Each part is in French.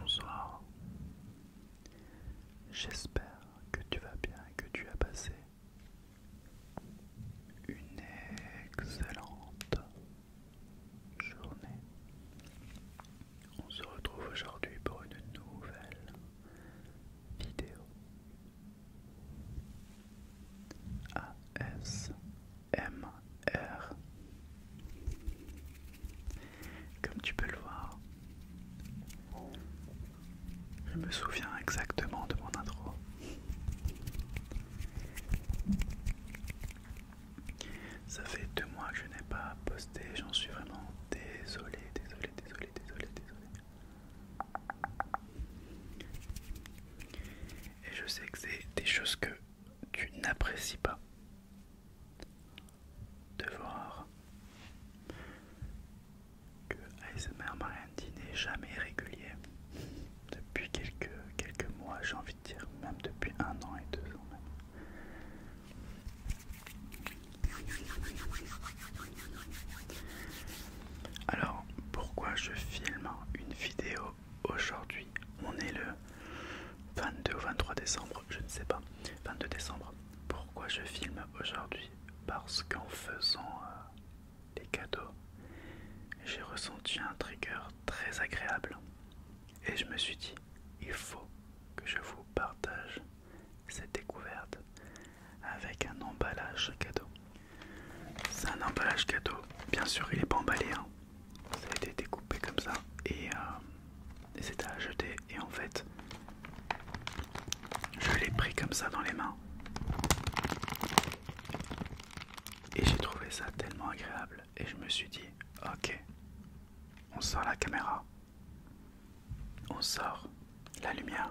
Bonsoir. J'espère que tu vas bien et que tu as passé une excellente journée. On se retrouve aujourd'hui pour une nouvelle vidéo ASMR. Comme tu peux le voir, je me souviens exactement de mon intro. Ça fait deux mois que je n'ai pas posté, j'en suis vraiment désolé, désolé, désolé, désolé, désolé. Et je sais que c'est des choses que tu n'apprécies pas de voir que ASMR Marianti n'est jamais régulier depuis quelques, quelques mois, j'ai envie de dire, même depuis un an et deux ans même. Alors, pourquoi je filme une vidéo aujourd'hui On est le 22 ou 23 décembre, je ne sais pas. 22 décembre. Pourquoi je filme aujourd'hui Parce qu'en faisant euh, des cadeaux, j'ai ressenti un trigger très agréable. Et je me suis dit, il faut que je vous partage cette découverte avec un emballage cadeau. C'est un emballage cadeau, bien sûr il n'est pas emballé, hein. ça a été découpé comme ça et, c'était euh, à jeter et en fait je l'ai pris comme ça dans les mains. Et j'ai trouvé ça tellement agréable et je me suis dit ok on sort la caméra on sort la lumière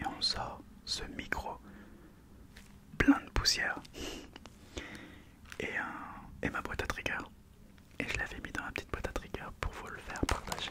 et on sort ce micro plein de poussière et, euh, et ma boîte à trigger et je l'avais mis dans la petite boîte à trigger pour vous le faire partager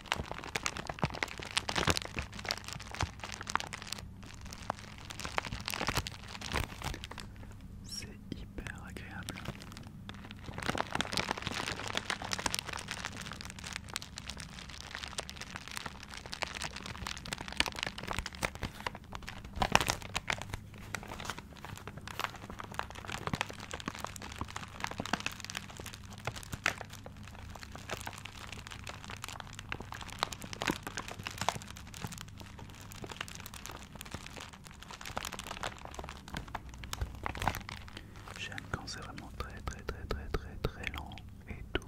C'est hyper agréable. J'aime quand c'est vraiment très très très très très très long et doux.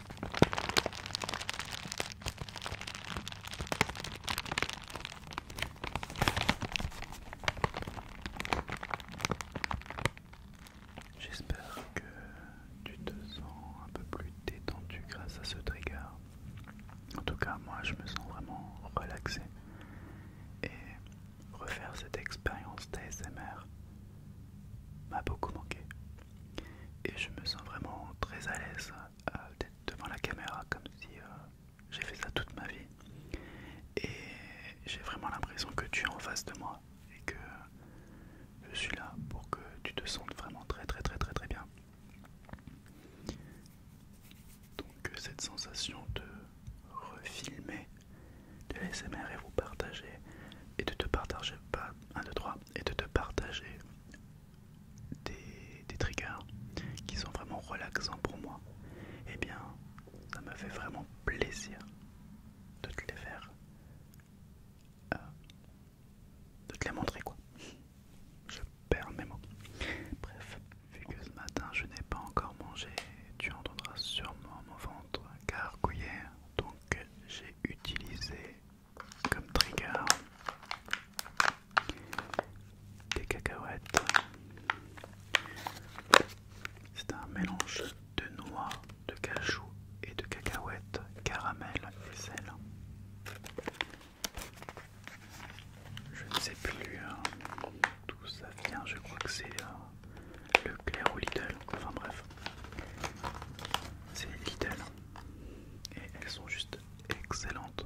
J'espère que tu te sens un peu plus détendu grâce à ce trigger. En tout cas, moi je me sens vraiment relaxé. Et refaire cette expérience d'ASMR m'a beaucoup manqué et je me sens vraiment très à l'aise euh, d'être devant la caméra comme si euh, j'ai fait ça toute ma vie et j'ai vraiment l'impression que tu es en face de moi et que je suis là pour que tu te sentes vraiment très très très très très bien donc euh, cette sensation de refilmer de l'ASMR et vous partager et de te partager pas un trois et de te partager des, triggers qui sont vraiment relaxants pour moi, et eh bien ça me fait vraiment plaisir de te les faire, euh, de te les montrer quoi. Je perds mes mots. Bref, vu que ce matin je n'ai pas encore mangé, tu entendras sûrement mon ventre gargouiller, donc j'ai utilisé comme trigger des cacahuètes. C'est un mélange de noix, de cajou et de cacahuètes, caramel et sel. Je ne sais plus hein, d'où ça vient, je crois que c'est euh, le clair ou Lidl, enfin bref. C'est Lidl. Et elles sont juste excellentes.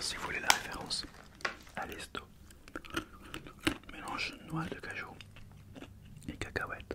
Si vous voulez la référence à l'esto, mélange noix de cajou et cacahuètes.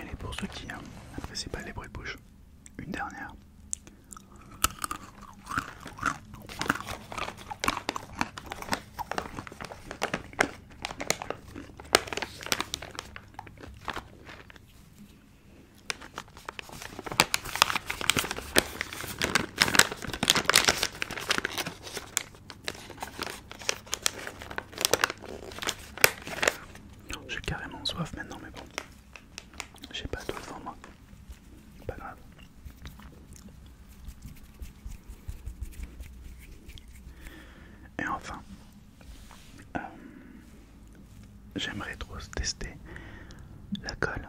Elle est pour ceux qui n'apprécient hein, pas les bruits de bouche, une dernière. J'ai carrément soif maintenant, mais bon, j'ai pas le devant moi. Pas grave. Et enfin, euh, j'aimerais trop tester la colle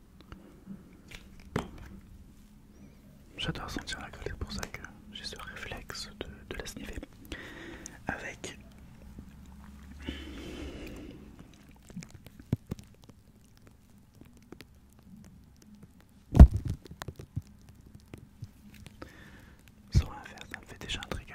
J'adore sentir la colle, c'est pour ça que j'ai ce réflexe de, de la sniffer. Avec. Sans rien faire, ça me fait déjà un trigger.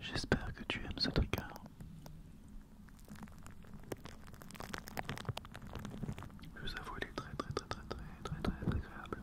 J'espère que tu aimes ce tricard. Je vous avoue, il est très très très très très très très agréable.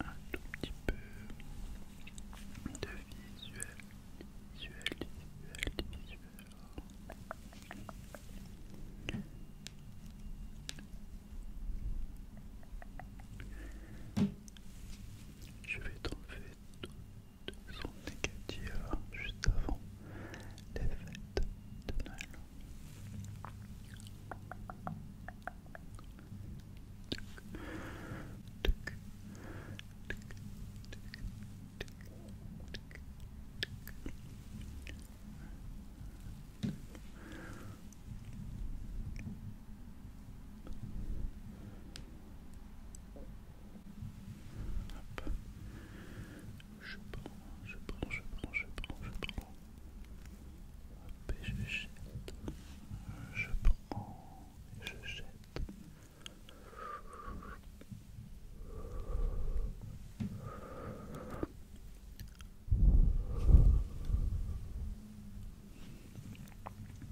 Un tout petit peu de visuel, visuel, visuel, visuel. Je vais t'enlever tout son négatif hein, juste avant les fêtes de je prends, je prends, je prends, je prends, je prends. et je Je prends, je jette.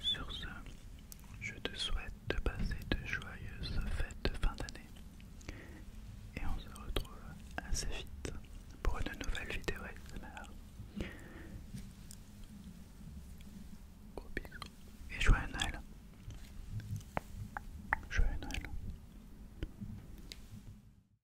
Sur ce, je te souhaite de passer de joyeuses fêtes de fin d'année et on se retrouve assez vite pour une nouvelle vidéo ASMR. Gros bisous et joyeux Noël. Joyeux Noël.